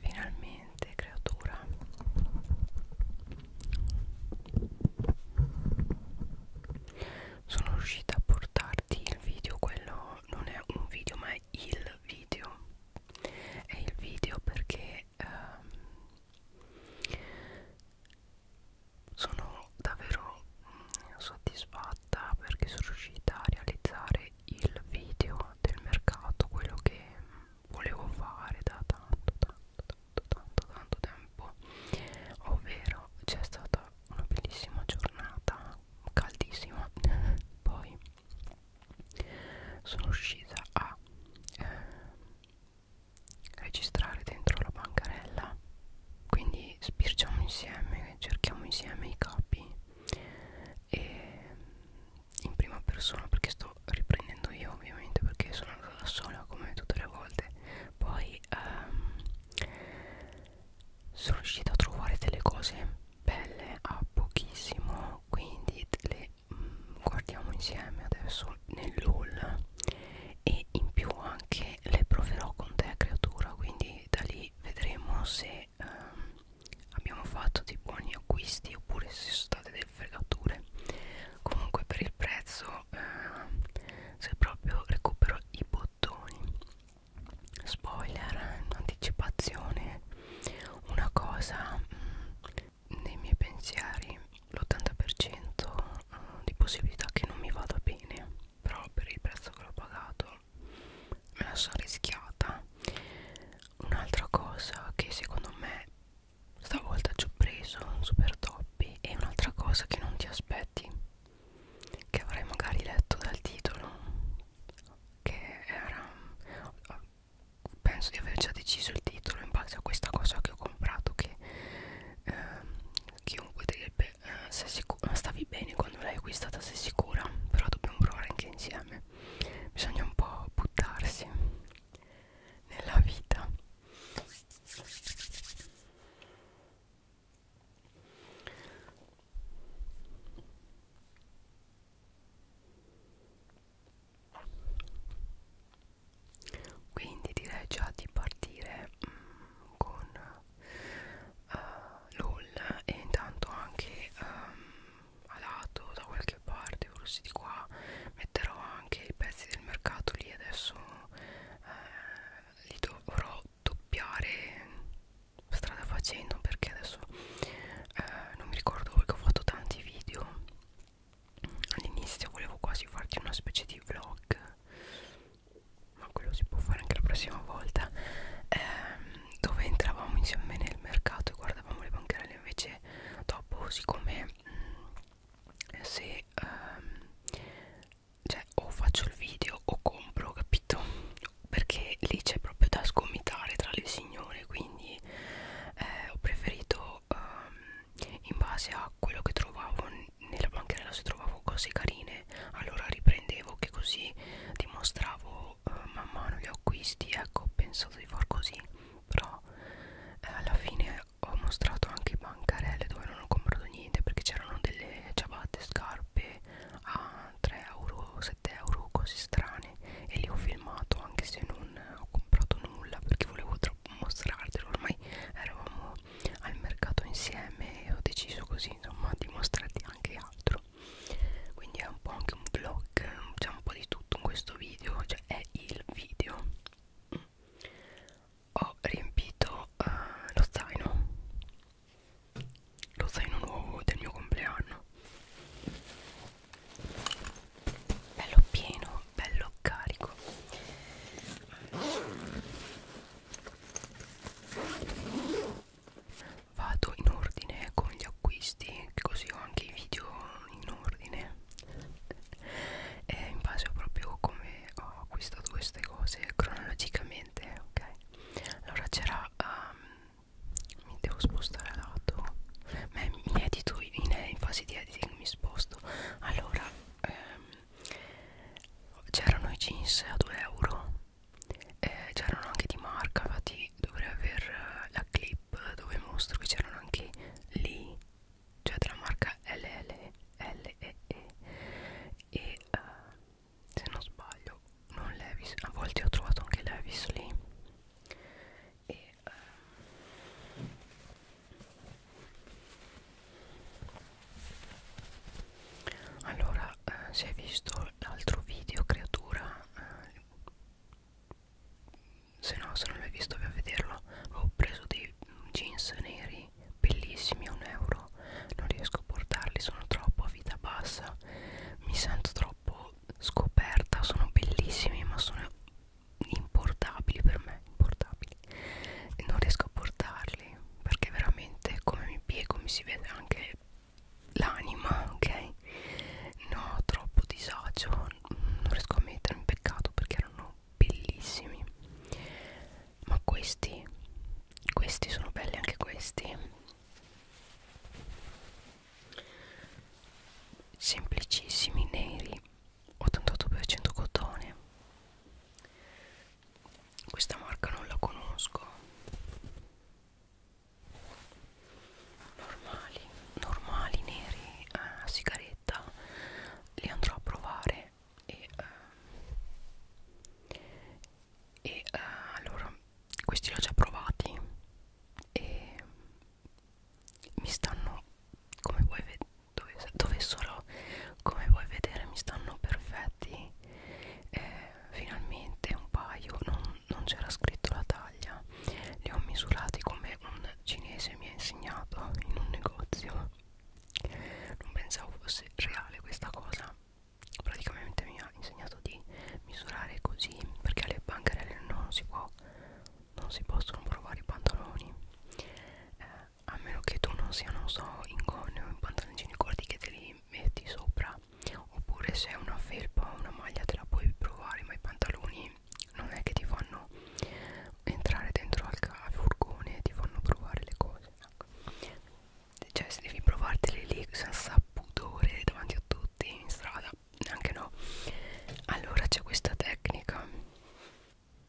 Finalmente, creatura. Sono riuscita a portarti il video, quello non è un video, ma è il video. È il video perché ehm, sono davvero mm, soddisfatta perché sono riuscita a realizzare il video del mercato quello che mm, volevo fare da tanto tanto tanto tanto tanto tempo ovvero c'è stata una bellissima giornata caldissima poi sono riuscita a eh, registrare dentro la bancarella quindi spirciamo insieme cerchiamo insieme i capi e in prima persona perché sto riprendendo io ovviamente perché sono andata da sola come tutte le volte poi um, sono riuscita a trovare delle cose belle a pochissimo quindi le mm, guardiamo insieme adesso nell'haul e in più anche le proverò con te creatura quindi da lì vedremo se ehm, abbiamo fatto dei buoni acquisti oppure se sono state delle fregature comunque per il prezzo ehm, se proprio recupero i bottoni spoiler un'anticipazione una cosa mh, mm, nei miei pensieri l'80% uh, di possibilità che non mi vada bene però per il prezzo che l'ho pagato me la sono rischiata un'altra cosa che secondo me stavolta ci ho preso un super toppi e un'altra cosa che non ti aspetti che avrei magari letto dal titolo che era penso di aver già deciso il titolo in base a questa cosa che ho comprato che eh, chiunque direbbe eh, sei sicura, stavi bene quando l'hai acquistata sei sicura però dobbiamo provare anche insieme bisogna un po' buttarsi nella vita quindi direi già di partire mm, con uh, eh, LOL e intanto anche um, ehm, a lato da qualche parte forse di qua metterò anche i pezzi del mercato lì adesso eh, li dovrò doppiare strada facendo perché adesso eh, non mi ricordo perché ho fatto tanti video all'inizio volevo quasi farti una specie di vlog ma quello si può fare anche la prossima volta ehm, dove entravamo insieme nel mercato e guardavamo le bancarelle invece dopo siccome mh, mm, se ehm, cioè o faccio il video o compro capito perché lì c'è proprio da sgomitare tra le signore quindi eh, ho preferito ehm, in base a quello che trovavo nella bancarella se trovavo cose carine allora riprendevo che così dimostravo eh, man mano gli acquisti ecco ho pensato di far così però eh, alla fine ho mostrato anche bancarelle dove non ho comprato niente perché c'erano delle ciabatte scarpe a 3 euro 7 euro cose strane e li ho filmato anche se non ho comprato nulla perché volevo troppo mostrartelo ormai eravamo al mercato insieme e ho deciso così insomma di mostrarti anche altro quindi è un po' anche un vlog c'è un po' di tutto in questo video cioè è il video mm. ho riempito uh, lo zaino lo zaino nuovo del mio compleanno bello pieno bello carico vado in ordine con gli acquisti così ho anche i video in ordine e in base a proprio come ho acquistato queste cose cronologicamente ok allora c'era um, mi devo spostare a lato ma mi edito in, in fase di editing mi sposto allora ehm, c'erano i jeans a 2 euro eh, c'erano anche di marca infatti dovrei aver eh, la clip dove mostro che c'erano anche lì cioè della marca LLE -E, e uh, se non sbaglio non Levis a volte ho trovato anche Levis lì e uh, allora eh, se hai visto l'altro video creatura eh, se no se non l'hai visto vai a vederlo ho preso dei jeans neri bellissimi a un euro non riesco a portarli sono troppo a vita bassa mi sento troppo scoperta sono bellissimi ma sono importabili per me, importabili e non riesco a portarli perché veramente come mi piego mi si vede anche l'anima, ok? No, troppo disagio, non riesco a mettermi in peccato perché erano bellissimi. Ma questi, questi sono belli anche questi. Semplicissimi neri 88% cotone questa marca non la conosco normali normali neri a eh, sigaretta li andrò a provare e, eh, e eh, allora questi li ho già provati e mi stanno come puoi vedere dove, dove sarò come puoi vedere mi stanno perfetti eh, finalmente un paio non, non c'era scritto la taglia li ho misurati come un cinese mi ha insegnato in un negozio non pensavo fosse reale questa cosa praticamente mi ha insegnato di misurare così perché alle bancarelle non si può non si possono provare i pantaloni eh, a meno che tu non sia, non so, in gonne o in pantaloncini corti che te li metti sopra oppure se è una felpa o una maglia te la puoi provare ma i pantaloni non è che ti fanno entrare dentro al furgone e ti fanno provare le cose ecco. cioè se devi provartele lì senza pudore davanti a tutti in strada neanche no allora c'è questa tecnica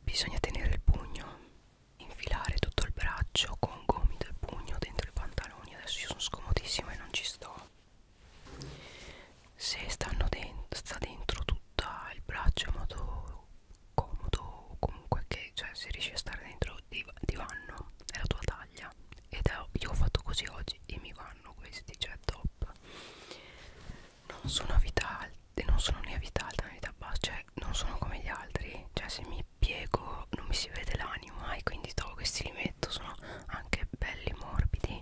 bisogna tenere il pugno infilare tutto il braccio con gomito e pugno dentro i pantaloni adesso io sono scomodissima e non ci sto se stanno dentro sta dentro tutto il braccio in modo comodo comunque che cioè se riesci a stare dentro div divano è la tua taglia ed è, io ho fatto così oggi e mi vanno questi cioè top non sono vita alta e non sono né a vita alta né a vita bassa cioè non sono come gli altri cioè se mi piego non mi si vede l'anima e quindi trovo questi li metto sono anche belli morbidi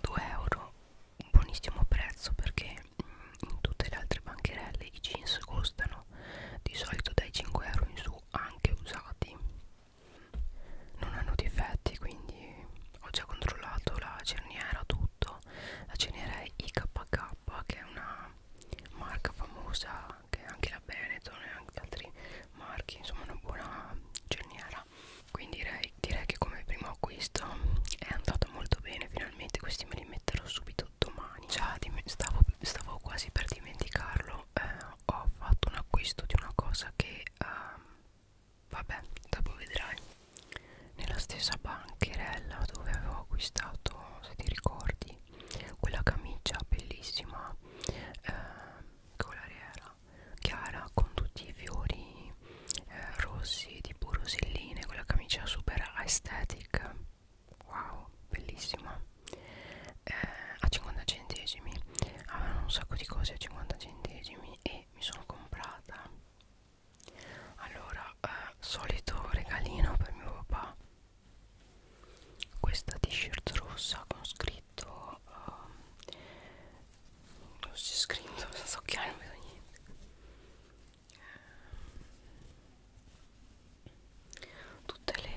2 euro un buonissimo prezzo perché mm, in tutte le altre bancherelle i jeans costano di solito dai 5 euro in su anche usati non hanno difetti quindi ho già controllato la cerniera tutto so la ceneria IKK che è una marca famosa che anche la Benetton e anche altri marchi insomma una buona cerniera quindi direi, direi che come primo acquisto è andata molto bene finalmente questi me li metterò subito domani già stavo, stavo quasi per dimenticarlo eh, ho fatto un acquisto di una cosa che eh, Vabbè, dopo vedrai. Nella stessa bancherella dove avevo acquistato, se ti ricordi, quella camicia bellissima eh, colariera chiara con tutti i fiori eh, rossi tipo rosilline, quella camicia super aesthetic. Wow, bellissima. Eh, a 50 centesimi avevano un sacco di cose a 50 centesimi e mi sono comprata allora eh, solito regalino per mio papà questa t-shirt rossa con scritto uh, non si è scritto non so che non vedo niente eh, tutte le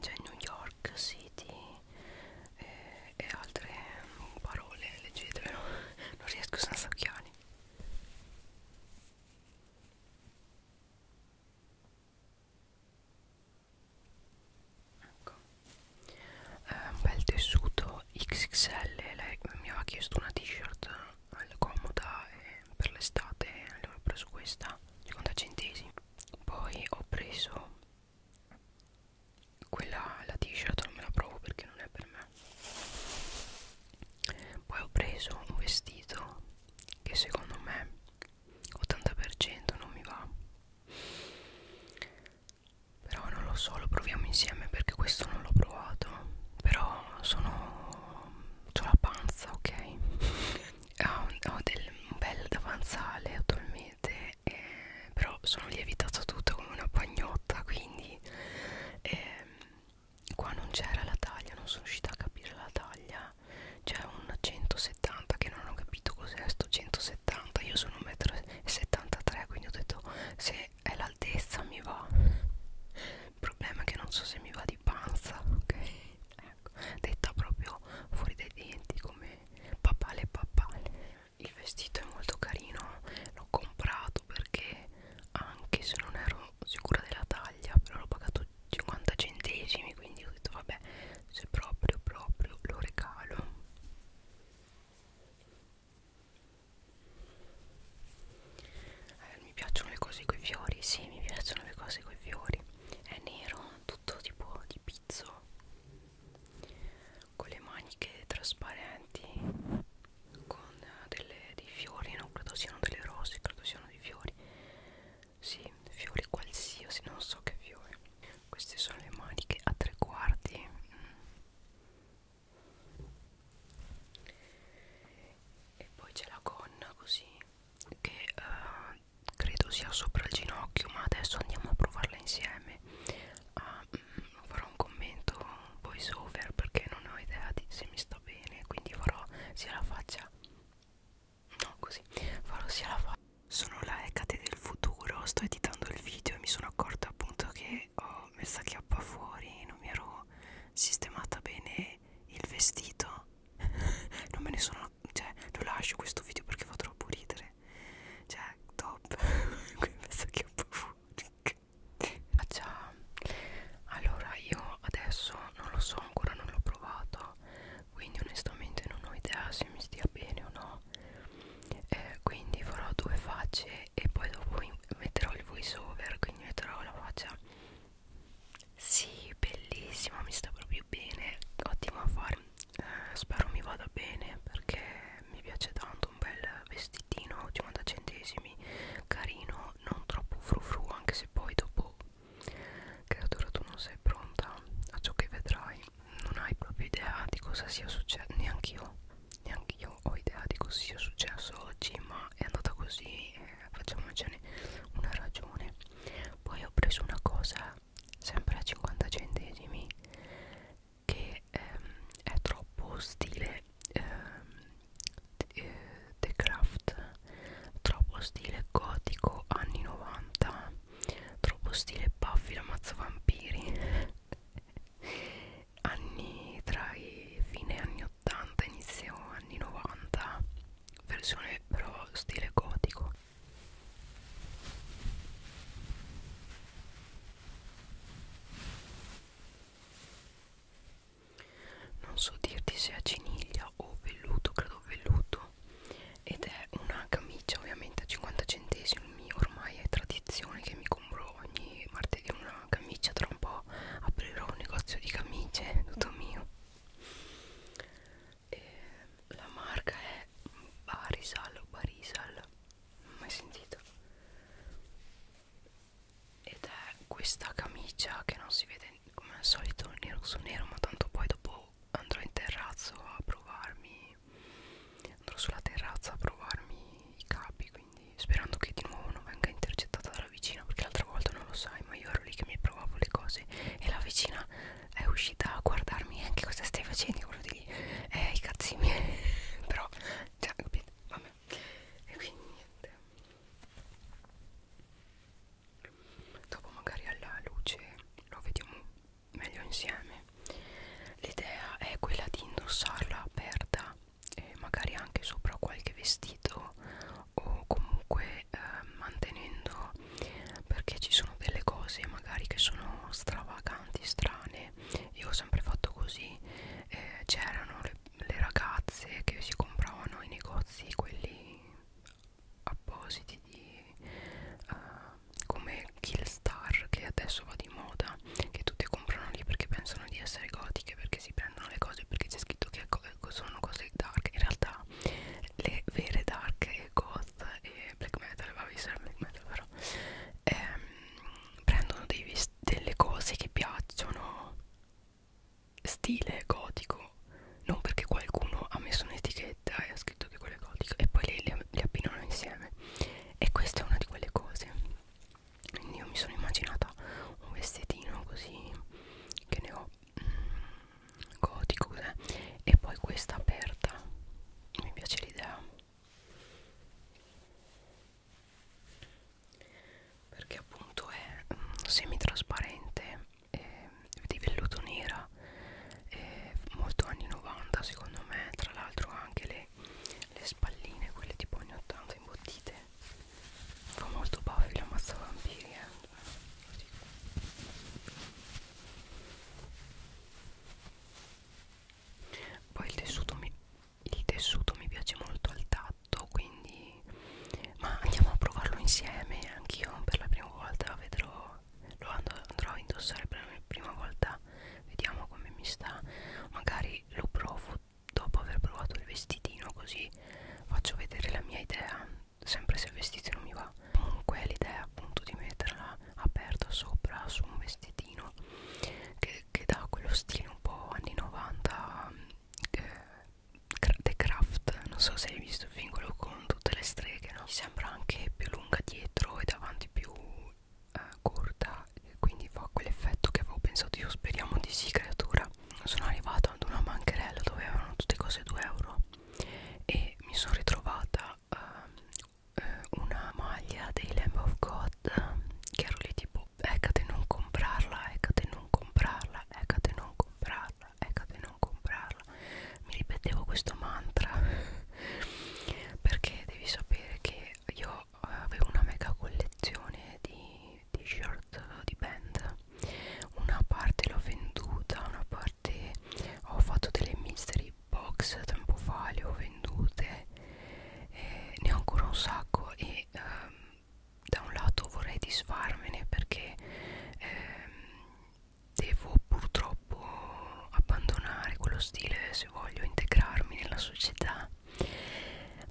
cioè New York City e, eh, e altre parole leggetelo non riesco senza occhiali giorni. Ecco. Eh, un bel tessuto XXL, lei mi aveva chiesto una t-shirt comoda e eh, per l'estate, allora ho preso questa, 50 centesimi. Poi ho preso quella la t-shirt non me la provo perché non è per me poi ho preso un vestito che secondo me 80% non mi va però non lo so lo proviamo insieme perché questo non l'ho provato però sono ho la panza ok ho, ho del, un bel davanzale attualmente eh, però sono lievitata tutta come una pagnotta quindi lì ehm, e qua non c'era la taglia non sono riuscita a capire la taglia c'è un 170 che non ho capito cos'è sto 170 io sono 1,73 m quindi ho detto se è l'altezza mi va il problema è che non so se mi va di panza ok ecco detta proprio fuori dai denti come papale papale il vestito è molto carino l'ho comprato perché anche se non ero sicura della taglia però l'ho pagato 50 centesimi quindi ho detto vabbè se proprio proprio lo regalo eh, mi piacciono le cose coi fiori sì mi piacciono le cose coi fiori è nero tutto tipo di pizzo con le maniche trasparenti con delle, dei fiori non credo siano delle rose credo siano dei fiori sì fiori qualsiasi non so che fiori queste sono le maniche a tre quarti mm. e poi c'è la gonna così che uh, credo sia sopra il ginocchio ma adesso andiamo a provarla insieme a ah, farò un commento voice over perché non ho idea di se mi sto bene quindi farò sia la faccia no così farò sia la faccia sono la Ecate del futuro sto editando il video e mi sono accorta appunto che ho messa chiappa fuori non mi ero sistemata bene il vestito non me ne sono cioè lo lascio questo video perché fa troppo ridere cioè top questa chiappa fuori ah già allora io adesso non lo so ancora non l'ho provato quindi onestamente non ho idea se mi stia bene o no eh, quindi farò due facce e poi dopo metterò il voice over quindi metterò la faccia sì bellissima mi sta proprio bene ottimo a fare eh, spero mi vada bene perché mi piace tanto comprato un bel vestitino 50 centesimi carino non troppo frufru anche se poi dopo creatura tu non sei pronta a ciò che vedrai non hai proprio idea di cosa sia successo neanche io neanche io ho idea di cosa sia successo oggi ma è andata così eh, facciamocene una ragione poi ho preso una cosa sempre a 50 centesimi che ehm, è troppo stile ehm, eh, The Craft, troppo stile gotico anni 90, troppo stile Buffy la mazza vampiri, anni tra i fine anni 80 inizio anni 90, versione però stile gotico non so dirti se a ciniglia o velluto credo velluto ed è una camicia ovviamente a 50 centesimi ormai è tradizione che mi compro ogni martedì una camicia tra un po' aprirò un negozio di camicie tutto mio e la marca è Barisal Barisal mai sentito ed è questa camicia che non si vede come al solito nero su nero ma tanto poi dopo andrò in terrazzo a provarmi andrò sulla terrazza a provarmi i capi quindi sperando che di nuovo non venga intercettata dalla vicina perché l'altra volta non lo sai ma io ero lì che mi provavo le cose e la vicina è uscita a guardarmi anche eh, cosa stai facendo quello di lì eh i cazzi miei però cioè capito vabbè e quindi niente dopo magari alla luce lo vediamo meglio insieme l'idea è quella di indossarla aperta e magari anche sopra qualche vestito o comunque eh, mantenendo perché ci sono delle cose magari che sono stravaganti strane male io ho sempre fatto così eh, c'erano le, le ragazze che si compravano i negozi quelli appositi di uh, come Killstar che adesso va di moda che tutte comprano lì perché pensano di essere gotiche perché si prendono le cose perché c'è scritto che sono cose dark in realtà le vere dark e goth e black metal va a essere black metal però ehm, prendono dei delle cose che piacciono stile gotico non perché qualcuno ha messo un'etichetta e ha scritto che quello è gotico e poi le, le, le abbinano insieme e questa è una di quelle cose quindi io mi sono immaginata un vestitino così che ne ho mm, gotico eh? e poi questa aperta mi piace l'idea perché appunto è mm, semitrasparente eh, di velluto nera eh, molto anni 90 secondo me tra l'altro anche le, le spalline quelle tipo anni 80 imbottite fa molto baffi la mazza vampiri eh poi il tessuto mi, il tessuto mi piace molto al tatto quindi ma andiamo a provarlo insieme anch'io per la prima volta vedrò lo andrò a indossare per la prima volta vediamo come mi sta magari lo provo dopo aver provato il vestitino così faccio vedere la mia idea sempre se il vestito non mi va comunque l'idea appunto di metterla aperta sopra su un vestitino carino che, che dà quello stile un po' anni 90 eh, The Craft non so se hai visto il film quello con tutte le streghe no? mi sembra anche più lunga dietro e davanti più eh, corta quindi fa quell'effetto che avevo pensato io speriamo di sì creatura sono arrivata ad una bancherella dove erano tutte cose 2 euro e mi sono ritrovata uh, una maglia dei Lamb of God che ero lì tipo Ecate non comprarla, Ecate non comprarla, Ecate non comprarla, Ecate non comprarla Mi ripetevo questo mantra perché devi sapere che io avevo una mega collezione di t-shirt di band una parte l'ho venduta una parte ho fatto delle mystery box tempo fa le ho vendute eh, ne ho ancora un sacco e ehm, da un lato vorrei disfarmene perché ehm, devo purtroppo abbandonare quello stile se voglio integrarmi nella società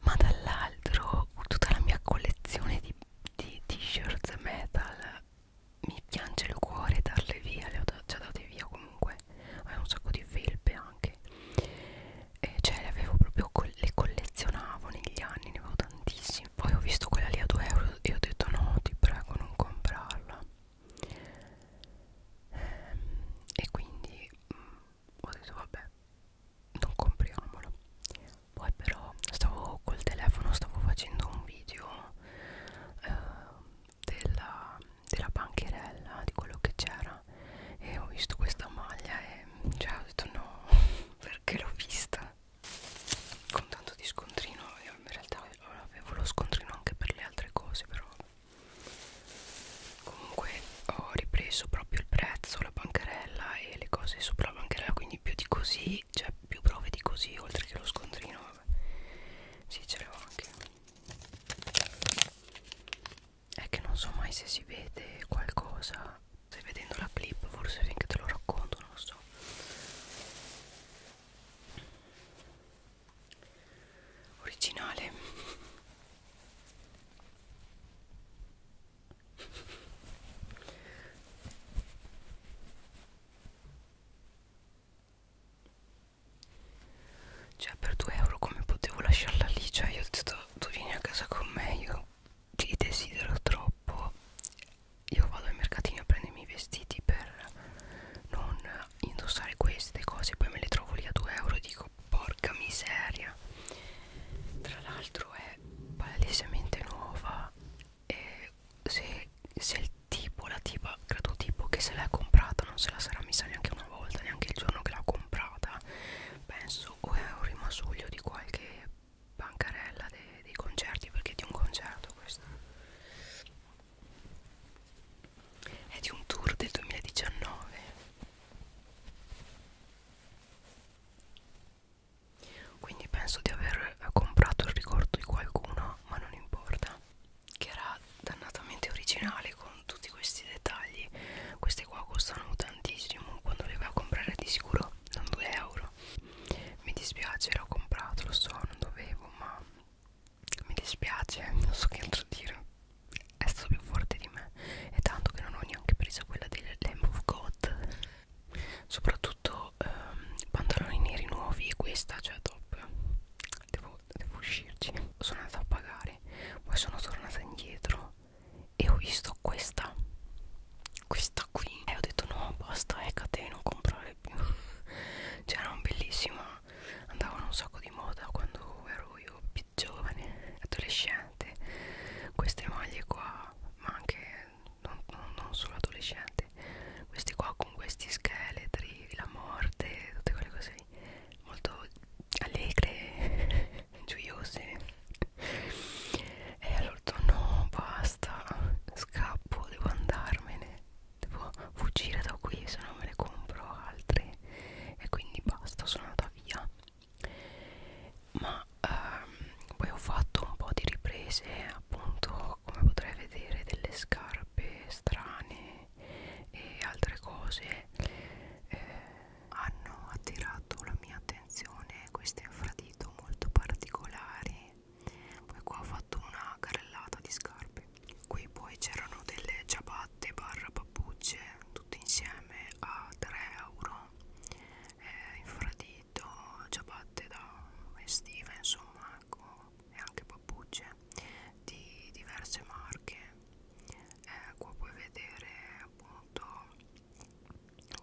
ma dall'altro tutta la mia collezione di, di t-shirt metal mi piange il cuore darle via, le ho già date via comunque avevo un sacco di felpe anche e cioè le avevo proprio le collezionavo negli anni ne avevo tantissime poi ho visto quella lì a 2 euro e ho detto no ti prego non comprarla ehm, e quindi mm, ho detto vabbè non compriamolo poi però stavo col telefono stavo facendo un video eh, della, della bancherella di quello che c'era e ho visto questa maglia e cioè ho detto no perché l'ho vista con tanto di scontrino io in realtà avevo lo scontrino anche per le altre cose però comunque ho ripreso proprio il prezzo la bancherella e le cose sopra la bancherella quindi più di così cioè più prove di così oltre che lo scontrino vabbè sì ce l'ho anche è che non so mai se si vede qualcosa stai vedendo la clip forse finché te lo racconto non lo so originale cioè per 2 euro come potevo lasciarla lì Cioè io ho detto tu vieni a casa con me Io ti desidero troppo Io vado al mercatino a prendermi i vestiti per non indossare queste cose Poi me le trovo lì a 2 euro e dico porca miseria Tra l'altro è palesemente nuova E se, se il tipo la tipa credo tipo che se l'è comprata non se la sarà messa neanche una volta neanche il giorno che l'ha comprata penso o è un rimasuglio di qualche bancarella dei, dei concerti perché è di un concerto questo è di un tour del 2019 quindi penso di aver comprato il ricordo di qualcuno ma non importa che era dannatamente originale con tutti questi dettagli queste qua costano tantissimo quando le vai a comprare di sicuro non 2 euro mi dispiace l'ho comprato lo so non dovevo ma mi dispiace non so che altro dire è stato più forte di me e tanto che non ho neanche preso quella del Lamb of God soprattutto ehm, pantaloni neri nuovi e questa cioè top devo, devo uscirci sono andata a pagare poi sono tornata indietro e ho visto questa questa qui e ho detto no basta Ecate non comprare più c'erano cioè, bellissima andavano un sacco di moda quando ero io più giovane adolescente queste maglie qua ma anche non, non, non solo adolescente questi qua con questi scheletri la morte tutte quelle cose lì molto allegre, gioiose e allora ho detto no basta, scappo, devo andarmene, devo fuggire da qui se no me ne compro altre e quindi basta, sono andata via ma ehm, poi ho fatto un po' di riprese appunto come potrai vedere delle scarpe strane e altre cose eh, hanno attirato la mia attenzione questi infradito molto particolari poi qua ho fatto una carrellata di scarpe qui poi c'erano delle ciabatte barra pappucce tutte insieme a 3 euro eh, infradito ciabatte da estiva insomma ecco e anche pappucce di diverse marche eh, qua puoi vedere appunto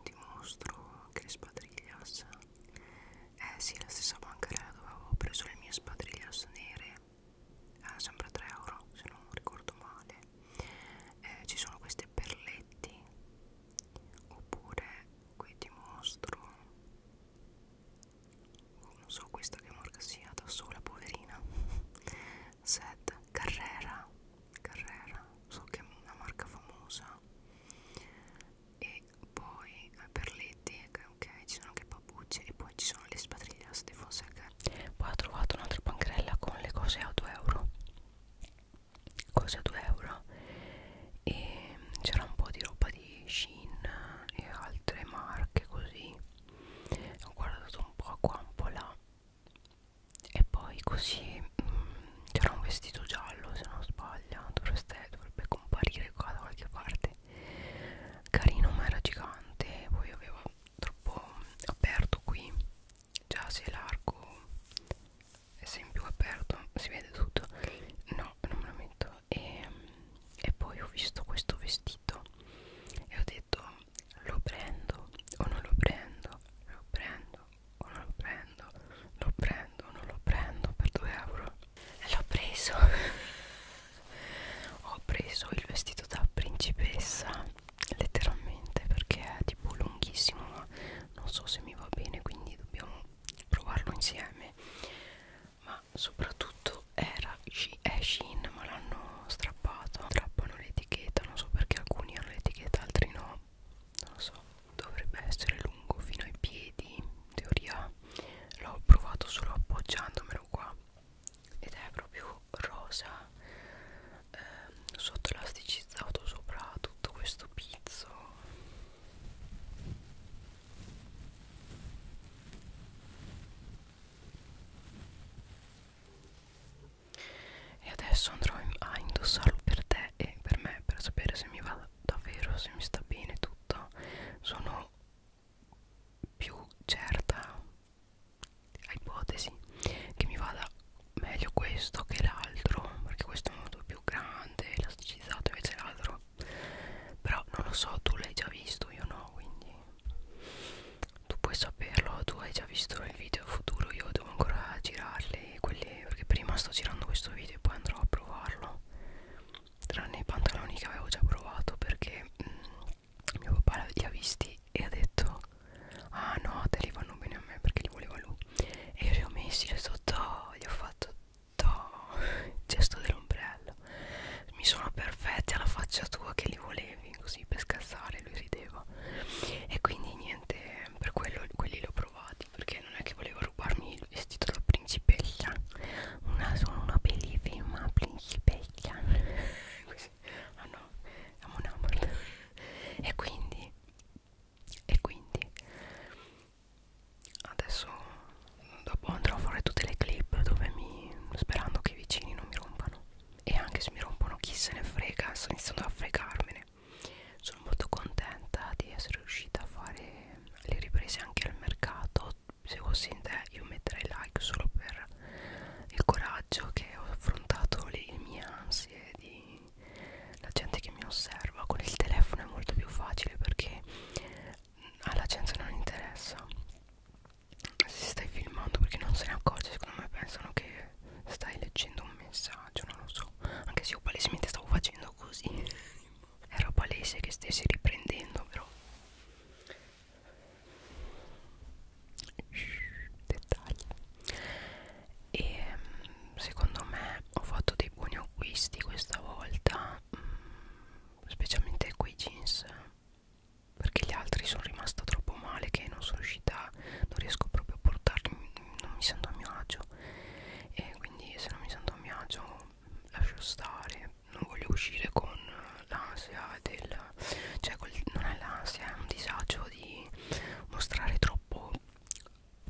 ti mostro che spadriglias eh sì la stessa bancarella dove avevo preso le mie spadriglias nere eh, sempre 3 euro se non ricordo male eh, ci sono queste perletti oppure qui ti mostro non so questa che marca sia da sola poverina Sed Carrera Carrera so che è una marca famosa e poi eh, Perletti ecco, ok ci sono anche Papucci e poi ci sono le spadrigliasse di Fonseca poi ho trovato un'altra pancherella con le cose a 2 euro cose a 2 euro e c'era un po' di roba di Shin e altre marche così ho guardato un po' qua un po' là e poi così mm, c'era un vestito giallo se non sbaglio dovreste, dovrebbe comparire qua da qualche parte carino ma era gigante poi avevo troppo aperto qui già se l'arco è sempre più aperto si vede tutto no non me lo metto e, e poi ho visto questo vestito e ho detto lo prendo o non lo prendo lo prendo o non lo prendo lo prendo o non lo prendo per 2 euro e l'ho preso ho preso il vestito da principessa letteralmente perché è tipo lunghissimo ma non so se mi va bene quindi dobbiamo provarlo insieme ma soprattutto era è Shein ma l'hanno strappato strappano l'etichetta non so perché alcuni hanno l'etichetta altri no non lo so dovrebbe essere lungo fino ai piedi in teoria l'ho provato solo appoggiandomelo qua ed è proprio rosa ehm, sotto elasticizzato sopra tutto questo pizzo e adesso andrò a indossarlo per te e per me per sapere se mi va davvero se mi sta bene tutto sono più certa ipotesi che mi vada meglio questo che l'altro perché questo è molto più grande elasticizzato invece l'altro però non lo so, tu l'hai già visto, io no, quindi tu puoi saperlo, tu hai già visto il video futuro, io devo ancora girarle quelli perché prima sto girando questo video e poi andrò a provarlo. Tranne i pantaloni che avevo già provato perché mh, mm, mio papà li ha visti e ha detto Ah no, te li vanno bene a me perché li voleva lui. E io li ho messi, li ho, fatto, oh", li ho fatto il gesto dell'ombrello mi sono perfetti alla faccia tua che li volevi così per scassare lui rideva e quindi niente per quello quelli li ho provati perché non è che volevo rubarmi il vestito da principella una, sono una bellissima principella così ah no amo un amore e quindi e quindi adesso dopo andrò a fare tutte le clip dove mi sperando che i vicini non mi rompano e anche se mi rompono chi se ne frega sto iniziando a fregarmene sono molto contenta di essere riuscita a fare le riprese anche al mercato se fossi in te io metterei like solo per il coraggio che ho affrontato le, le mie ansie di la gente che mi osserva con il telefono è molto più facile perché alla gente non interessa se stai filmando perché non se ne accorge secondo me pensano che stai leggendo un messaggio non lo so anche se io palesemente stavo facendo così era palese che stessi riprendendo però Shhh, dettagli e ehm, secondo me ho fatto dei buoni acquisti questa volta mm, specialmente quei jeans perché gli altri sono rimasta troppo male che non sono riuscita non riesco proprio a portarli non mi sento a mio agio e quindi se non mi sento a mio agio lascio stare non voglio uscire con l'ansia del cioè col, non è l'ansia è un disagio di mostrare troppo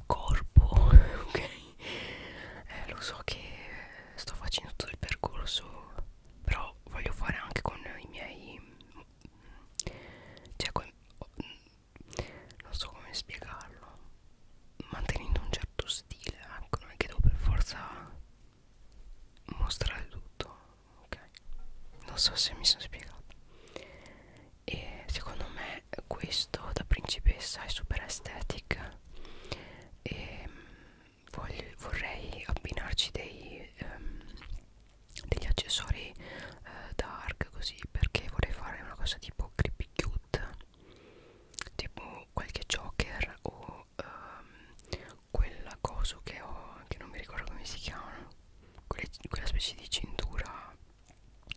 corpo ok eh, lo so che sto facendo tutto il percorso però voglio fare anche con i miei cioè con, non so come spiegarlo mantenendo un certo stile ecco non è che devo per forza mostrare tutto ok non so se mi sono spiegato e secondo me questo da principessa è super estetica e ehm, voglio, vorrei abbinarci dei, um, degli accessori uh, dark così perché vorrei fare una cosa tipo creepy cute tipo qualche joker o um, ehm, quella cosa che ho che non mi ricordo come si chiama quelle, quella specie di cintura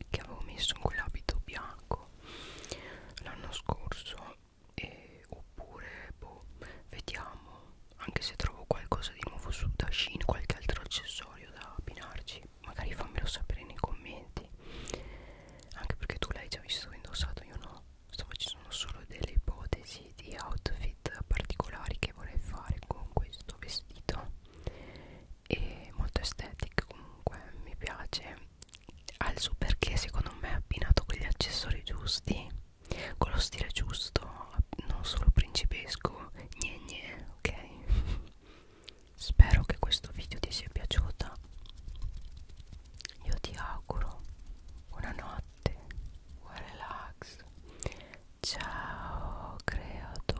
che avevo messo in quell'abito bianco l'anno scorso e, oppure boh, vediamo anche se trovo qualcosa di nuovo su Dashin qualche altro accessorio da abbinarci magari fammelo sapere nei commenti anche perché tu l'hai già visto indossato io no Stavo, ci sono solo delle ipotesi di outfit particolari che vorrei fare con questo vestito e molto estetica comunque mi piace ha il suo perché secondo me abbinato con gli accessori giusti con lo stile giusto non solo principesco gne gne ok spero che questo video ti sia piaciuta io ti auguro buonanotte buon relax ciao creatura